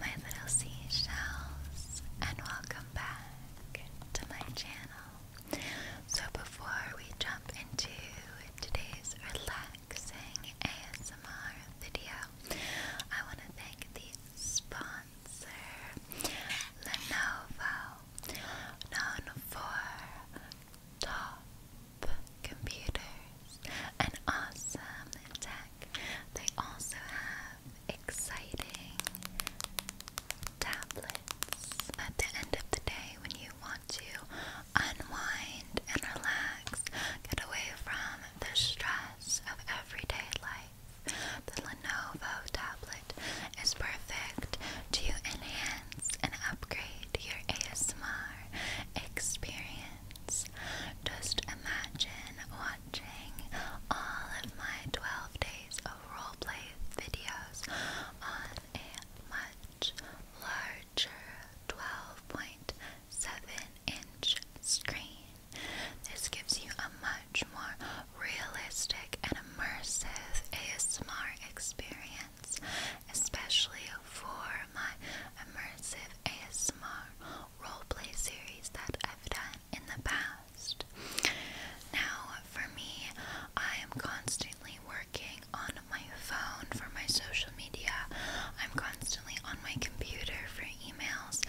my little seashells, and welcome back to my channel. So, before we jump into today's relaxing ASMR video, I want to thank the sponsor, Lenovo, known for top computers and awesome tech. They also have exciting tablets. At the end of the day, when you want to unwind and relax, get away from the stress of everyday life, the Lenovo tablet is perfect to enhance and upgrade your ASMR experience. Just imagine watching all of my 12 days of roleplay videos on a much larger 12.7 inch screen. This gives you a much more realistic and immersive ASMR experience, especially for my immersive ASMR roleplay series that I've done in the past. Now, for me, I am constantly working on my phone for my social media, I'm constantly on my computer for emails,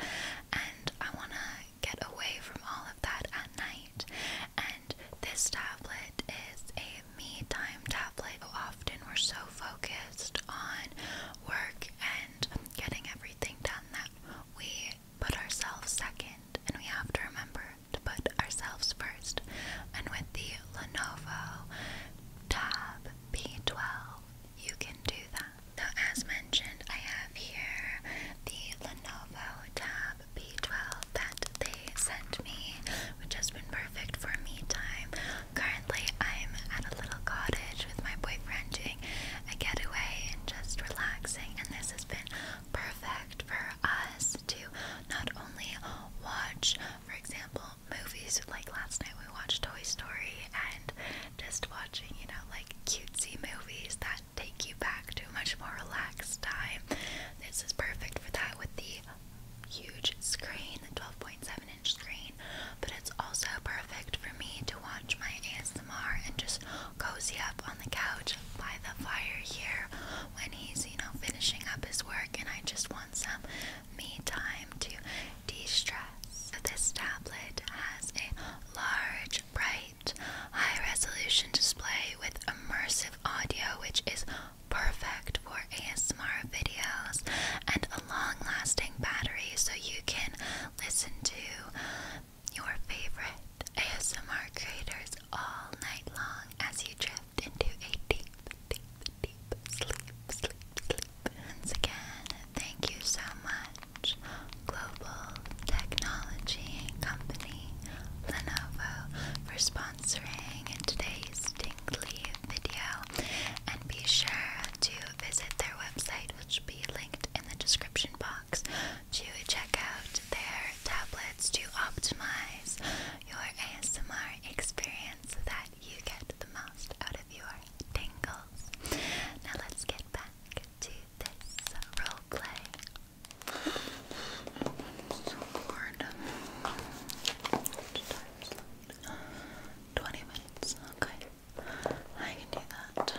and I want to get away from all of that at night. And this tablet is a me time tablet. Often we're so focused on work week and getting everything done that we put ourselves second and we have to remember to put ourselves first. And with the Lenovo Tab P12, you can do that. Now, as mentioned, I have here the Lenovo Tab P12 that they sent me, which has been perfect for me time. Currently, currently I'm at a little cottage with my boyfriend doing a getaway and just relaxing and this has been perfect for us to not only watch, for example, movies like last night we watched Toy Story and just watching, you know, like cutesy movies that take you back to a much more relaxed time. This is perfect for that with the huge screen, the 12.7 but it's also perfect for me to watch my ASMR and just cozy up on the couch by the fire here when he's, you know, finishing up his work and I just want some me time to de stress. This tablet has a large, bright, high resolution display with immersive audio, which is perfect for ASMR videos and long lasting battery so you can listen to your favorite ASMR creators all night long as you drift into a deep, deep, deep sleep, sleep, sleep. Once again, thank you so much, Global Technology Company Lenovo, for sponsoring today's Dinkly video. And be sure to visit their website, which will be linked in the description box, to check out their tablets to optimize your ASMR experience so that you get the most out of your tingles. Now, let's get back to this roleplay. 20 minutes, okay. I can do that.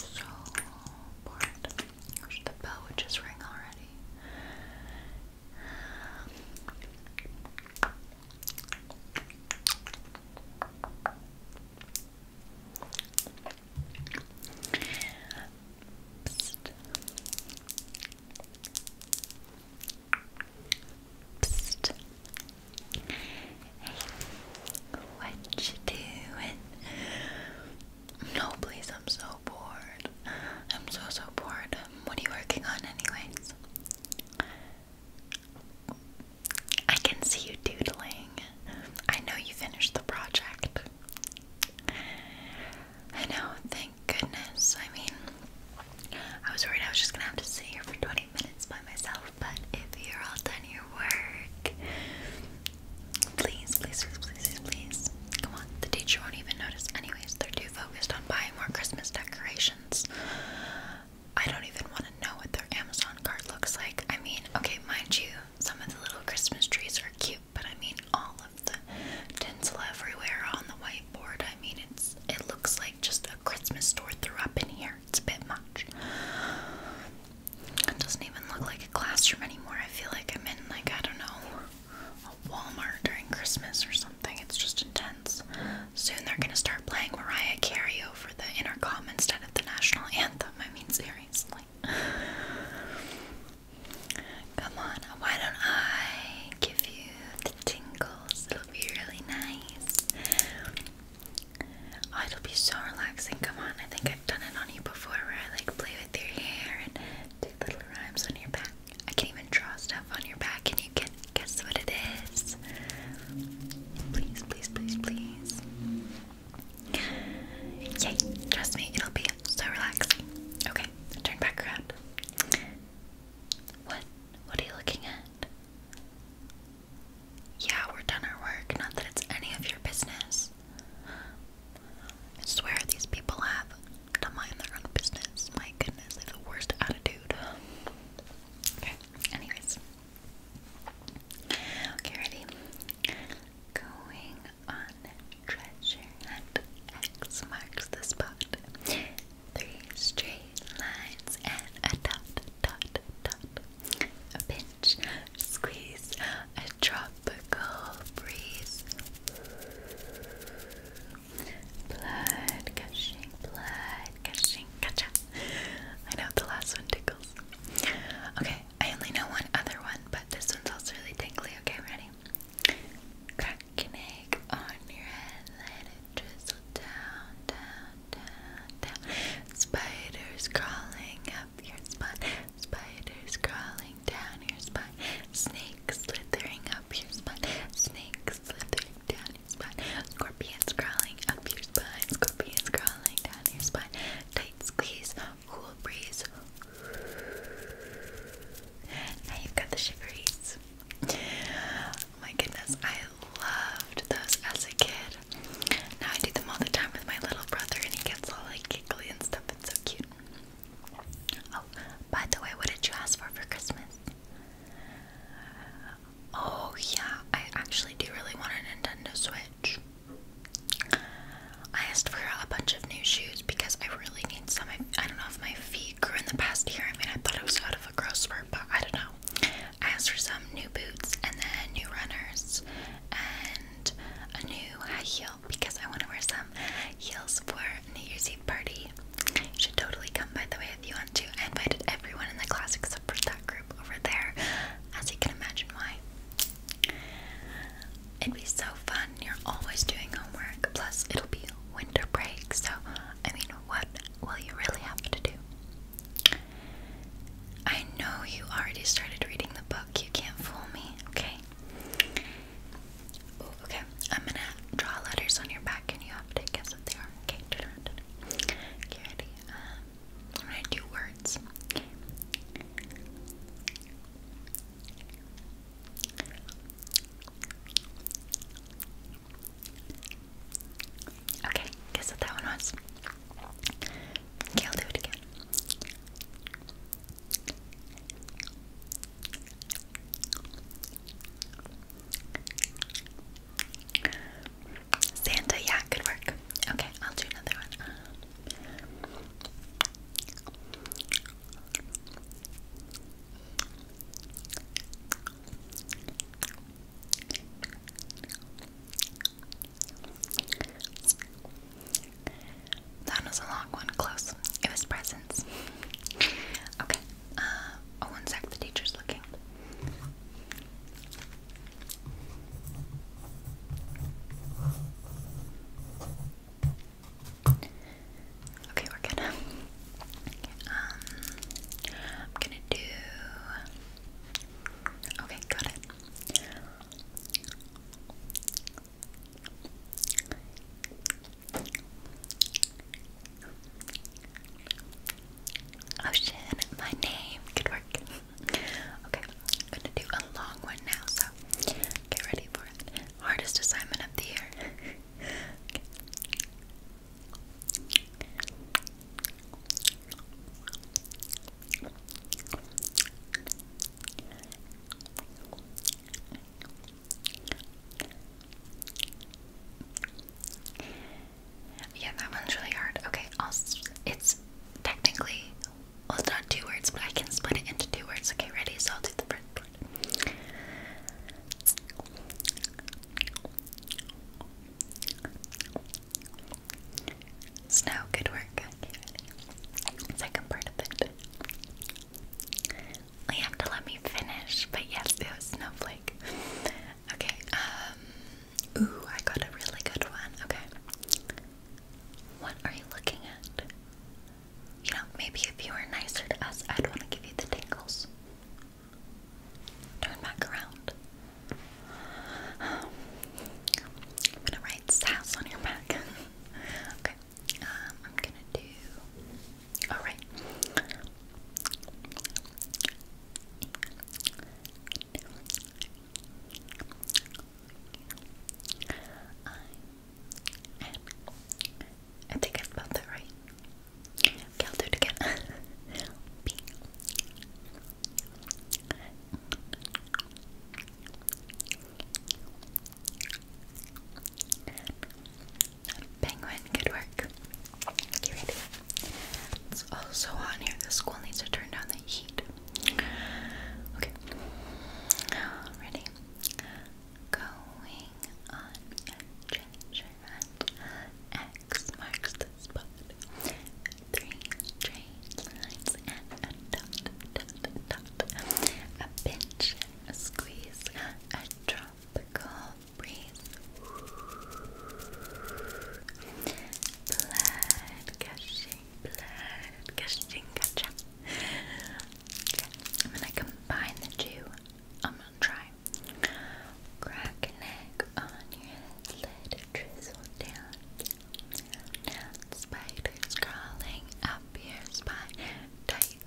So bored. The bell would just ring already what you doing? No, please, I'm so bored. I'm so, so bored. What are you working on, anyways? I can see you doodling. I know you finished the project. I know, thank goodness. I mean, I was worried I was just gonna have to sit here for 20 minutes by myself, but if you're all done your work, please, please, please, please, please, please. Come on, the teacher won't even notice, anyways. They're too focused buying more Christmas decorations. I don't even want to know what their Amazon card looks like. I mean, okay, mind you, some of the little Christmas trees are cute, but I mean, all of the tinsel everywhere on the whiteboard. I mean, it's it looks like just a Christmas store threw up in here. It's a bit much. It doesn't even look like a classroom anymore. I feel like I'm in like I don't know a Walmart during Christmas or something. It's just intense. Soon they're gonna start playing Mariah Carey over the intercom instead of the national anthem. I mean, seriously. Come on, why don't I give you the tingles? It'll be really nice. Oh, it'll be so relaxing. Come on, I think I've done it on you before where I like play with your hair and do little rhymes on your back. I can even draw stuff on your back and you can guess what it is. Please, please, please, please. Yay, trust me, it'll be so relaxing. Okay, turn back around. What? What are you looking at? Yeah, we're done our work. Not that it's any of your business. I swear these people have to mind their own business. My goodness, they have the worst attitude. Okay, anyways. Okay, ready? Going on treasure hunt. X marks the spot. Three straight lines and a dot, dot, dot. A pinch, squeeze, a tropical breeze. Blood gushing, blood gushing, gotcha. I know the last one tickles. Okay, I only know one other one, but this one's also really tingly. Okay, ready? Crack an egg on your head, let it drizzle down, down, down, down. Spiders crawling up your spine, spiders crawling down your spine, snakes slithering up up Snakes slithering down your spine. Scorpions crawling up your spine. Scorpions crawling down your spine. Tight squeeze. Cool breeze. Now you've got the shiveries. Oh my goodness, I loved those as a kid. Now I do them all the time with my little brother and he gets all like giggly and stuff. It's so cute. Oh, by the way, what did you ask for for Christmas? Oh, yeah, I actually do really want a Nintendo Switch. I asked for a bunch of new shoes because I really need some. I, I don't know if my feet grew in the past year. I mean, I thought it was out of a growth spurt, but I don't know. I asked for some new boots and then new runners and a new high heel because I want to wear some heels for New Year's Eve party. should totally come, by the way, if you want to. I invited everyone in the class except for that group over there, as you can imagine why. It'd be so fun. You're always doing homework. Plus, it'll be winter break, so I mean, what will you really have to do? I know you already started reading the book. You can't fool me, okay? okay, I'm gonna draw letters on your back and you have to guess what they are. Okay, turn around, turn ready? Um, i gonna do words. Okay, guess what that one was. Okay, I'll do it again. Santa, yeah, good work. Okay, I'll do another one. That was a long one. Close. It was presents. Okay. Uh, oh, one sec. The teacher's looking. Okay, we're going Um, I'm gonna do. Okay, got it. Ocean, oh, my name. Good work. okay, I'm gonna do a long one now, so get ready for it. Hardest assignment of the year. Yeah, that one's really hard. Okay, I'll, it's technically, well, it's not two words, but I can split it into two words. Okay, ready? So I'll do the first Snow, good work. Second part of it. You have to let me finish, but yes, it was snowflake. Okay, um, ooh, I got a really good one. Okay, what are you looking at? You know, maybe if you were nicer to us, I'd want to give you the tingles. Turn back around. I'm gonna write sass on your back. okay. Um, I'm gonna do. All right. I am. I think I spelled that right. I'll do it again. B. Penguin, good work. Okay, ready? It's also hot here. The school needs to turn down the heat. Okay. Ready? Going on X marks the spot. Three train lines and a dot, A bench a squeeze a tropical breeze. Blood gushing, blood gushing, gotcha. I'm gonna combine the two. I'm gonna try. Crack an egg on your head, let it drizzle down. spiders crawling up your spine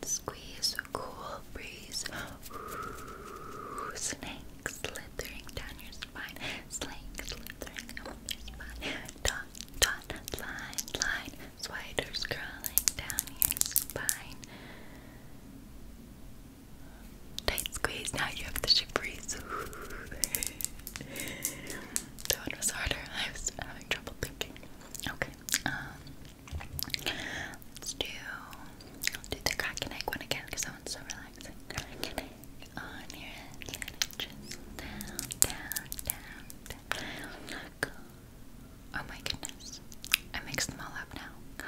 squeeze a cool breeze. snake slithering down your spine. Snake slithering up your spine. Dot, dot, line, line. Spiders crawling down your spine. Tight squeeze. Now you have the ship breeze. that one was harder. I was having trouble thinking. Okay. Um, Let's do, I'll do the cracking egg one again because that one's so relaxing. Crack and egg on your head, let it just down, down, down, Oh my goodness. I mixed them all up now.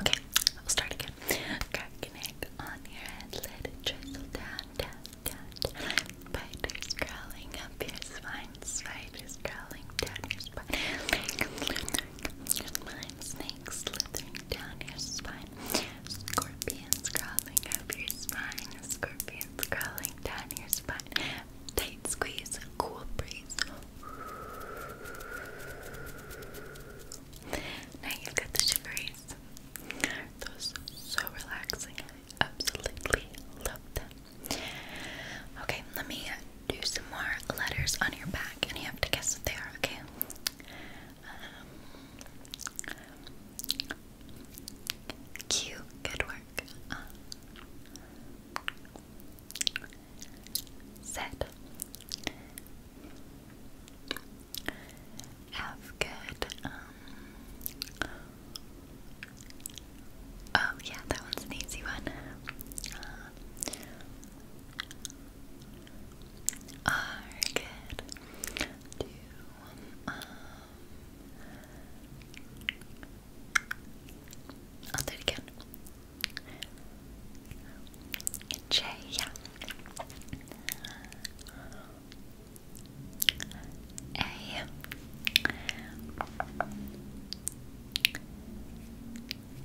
Okay, I'll start again. Crack an egg on your head, let it drizzle down, down, cat. Spiders crawling up your spine. Spiders crawling down your spine. Snakes slithering down your spine. Scorpions crawling up your spine. Scorpions crawling down your spine. Tight squeeze. Cool breeze. Now you've got the shiveries. Those so relaxing absolutely love them. Okay, let me do some more letters on your back, and you have to guess what they are, okay? Um, Q, good work. Uh, Z. F, good. Um, Oh, yeah, that one's an easy one. Uh, R, good. Do, um, I'll do it again. J, yeah. A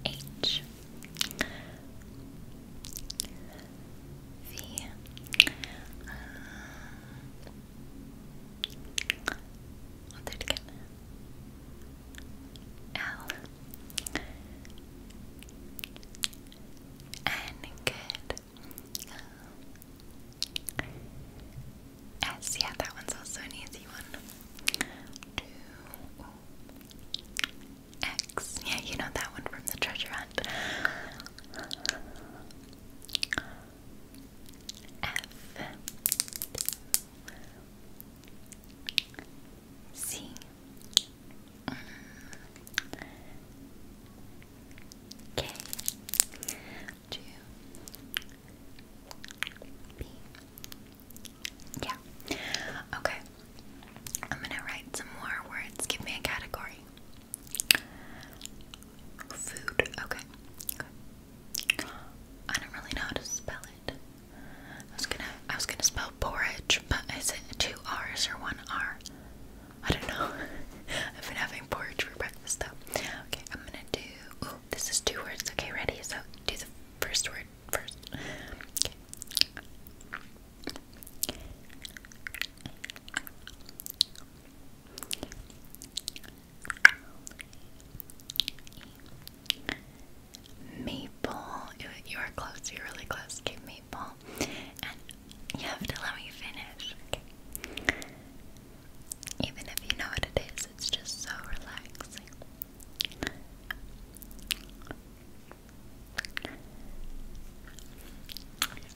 H V uh, I'll do good. Um, S, yeah, that one's also an easy one. Two, oh, X, yeah, you know that one from the treasure hunt. F, C, mm, K to Yeah. Okay. I'm gonna write some more words. Give me a category. Food. Okay. I don't really know how to spell it. I was gonna I was gonna spell porridge, but is it two R's or one R? I don't know. I've been having porridge for breakfast though. Okay, I'm gonna do. Oh, this is two words. Okay, ready? So do the first word first. Okay. Maple. You, you are close. You're really close to maple. you have to let me finish. Even if you know what it is, it's just so relaxing.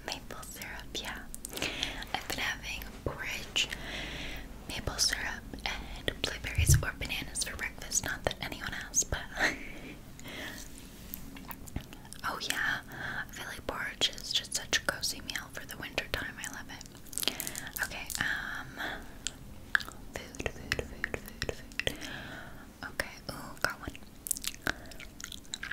Maple syrup, yeah. I've been having porridge, maple syrup, and blueberries or bananas for breakfast. Not that anyone else, but Oh yeah, I feel like porridge is just such a cozy meal for the winter time. I love it. Okay, um, food, food, food, food, food. Okay, ooh, got one. Okay,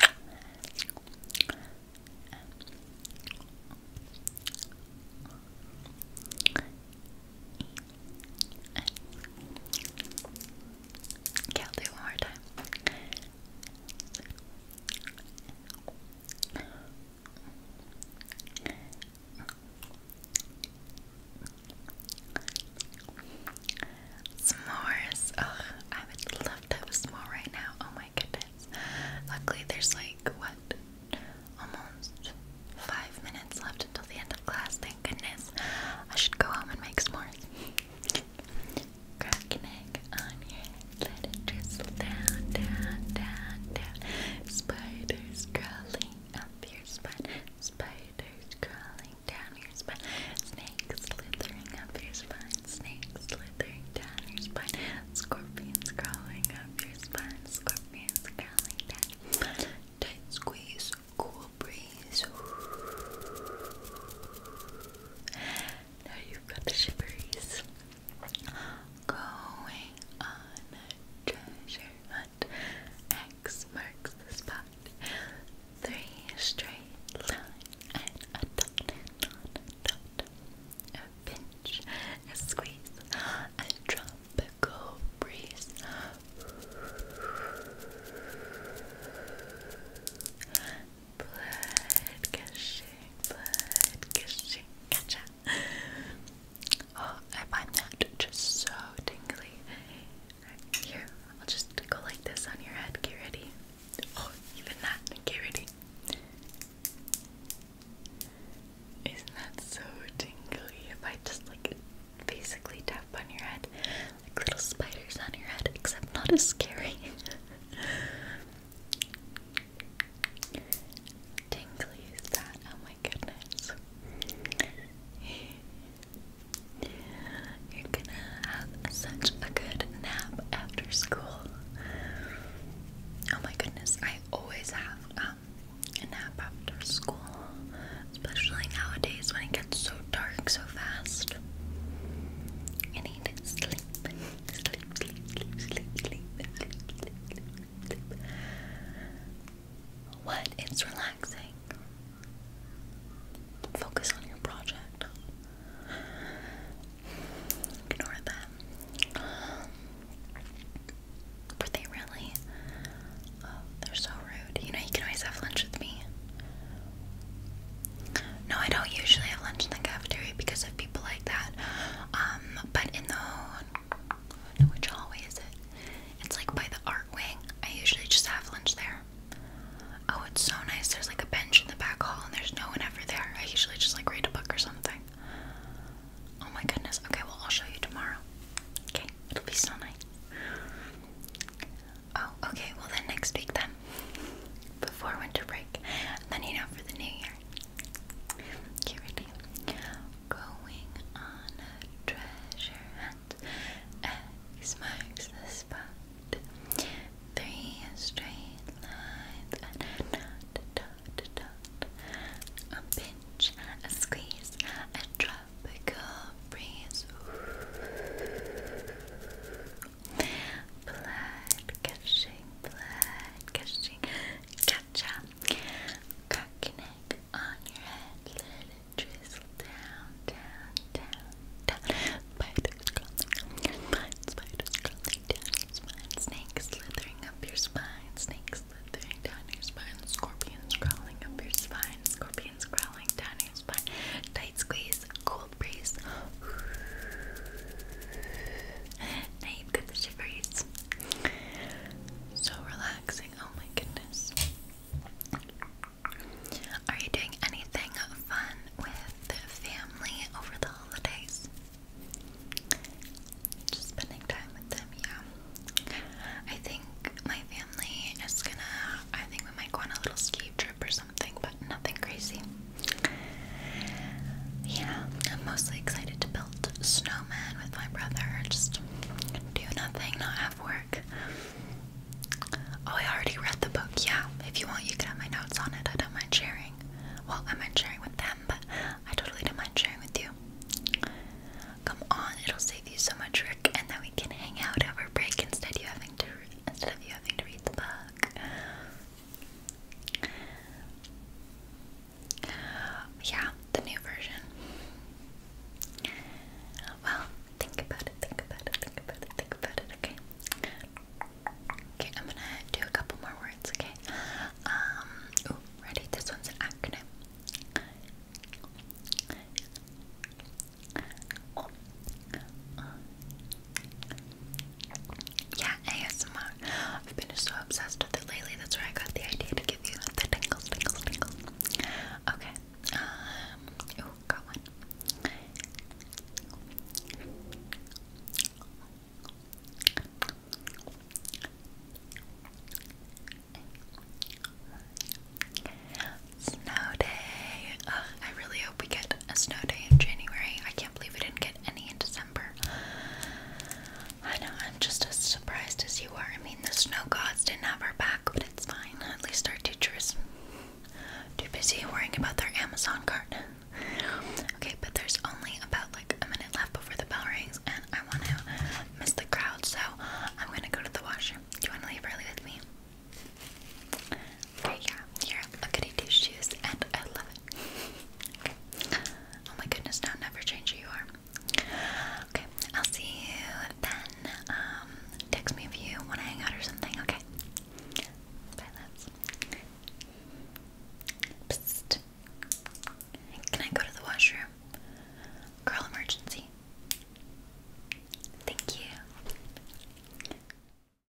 i do it one more time. S'mores. Ugh, I would love to have s'more right now. Oh my goodness. Luckily, there's like what? Almost five minutes left until the end of class. Thank goodness. I should go home and make s'mores. Crack an egg on your head, let it drizzle down, down, down, down. Spiders crawling up your spine, spiders crawling down your spine, snakes slithering up your spine, snakes slithering down your spine, scorpions crawling up your spine, scorpions crawling down your spine. Tight squeeze, cool breeze. Now you've got the shivers. Going on treasure hunt. X marks the spot. Three straight lines and a dot. A pinch, a squeeze, a tropical breeze blood gushing, blood gushing, gotcha. Oh, I find that just so tingly. Here, I'll just go like this on your head. Get ready. Oh, even that. Get ready. Isn't that so tingly? If I just like basically tap on your head, like little spiders on your head, except not as scary. Tingly is that? Oh my goodness. You're gonna have such a good nap after school. Oh my goodness, I always have um, a nap after school, especially nowadays when it gets so dark so fast. I need sleep sleep, sleep, sleep, sleep, sleep, sleep, sleep, sleep, What? It's relaxing. Focus on your project. Ignore them. Were they really? Oh, they're so rude. You know, you can always have lunch with me. No, I don't usually have lunch in the cafeteria because if like that. Um, but in the which hallway is it? It's like by the art wing. I usually just have lunch there. Oh, it's so nice. There's like a bench in the back hall, and there's no one ever there. I usually just like read a book or something. Oh my goodness. Okay, well, I'll show you tomorrow. Okay, it'll be so nice. Oh, okay, well, then next week, then before winter break, then you know for the new year. Okay, ready? Going on a treasure hunt. X marks the spot. Three straight lines A pinch, a squeeze, a tropical breeze blood gushing, blood gushing, cha-cha, on your head, let drizzle down, down, down, down, spiders crawling spiders crawling down your spine, snakes slithering up your spine, snakes slithering down your spine, scorpions crawling up your spine, scorpions crawling down your spine, tight squeeze, cool cold breeze. Now you So relaxing. Oh my goodness. Are you doing anything fun with family over the holidays? Just spending time with them, yeah. I think my family is gonna. I think we might go on a little ski trip or something but nothing crazy. Yeah, I'm mostly excited to build snowmen with my brother. Just do nothing, not have work. Oh, I already read the book. Yeah, if you want, you can have my notes on it. I don't mind sharing. Well, I mind sharing with them, but I totally don't mind sharing with you. Come on, it'll save you so much work, and then we can hang out over break instead you having to instead of you having to read the book. Yeah, the new version. Well, think about it, think about it, think about it, think about it, okay? Okay, I'm gonna do a couple more words, okay? Um, ready? This one's an acronym yeah, ASMR. I've been so obsessed with it lately. That's where I got the idea to give you the tingles, tingles, tingles. Okay. Oh, got one. Snow day. I really hope we get a snow day in January. I can't believe we didn't get any in December. I know, I'm just as surprised as you are. I mean, the snow gods didn't have our back, but it's fine. At least our teachers too busy worrying about their Amazon cart. okay, but there's only about like a minute left before the bell rings, and I want to miss the crowd, so I'm gonna go to the washroom. Do you want to leave early with me? yeah, here, look at these shoes, and I love it. Okay. Oh my goodness, now never change who you are. Okay, I'll see you then. Um, text me if you want to hang out or something, okay? Bye, loves. Can I go to the washroom? Girl emergency. Thank you.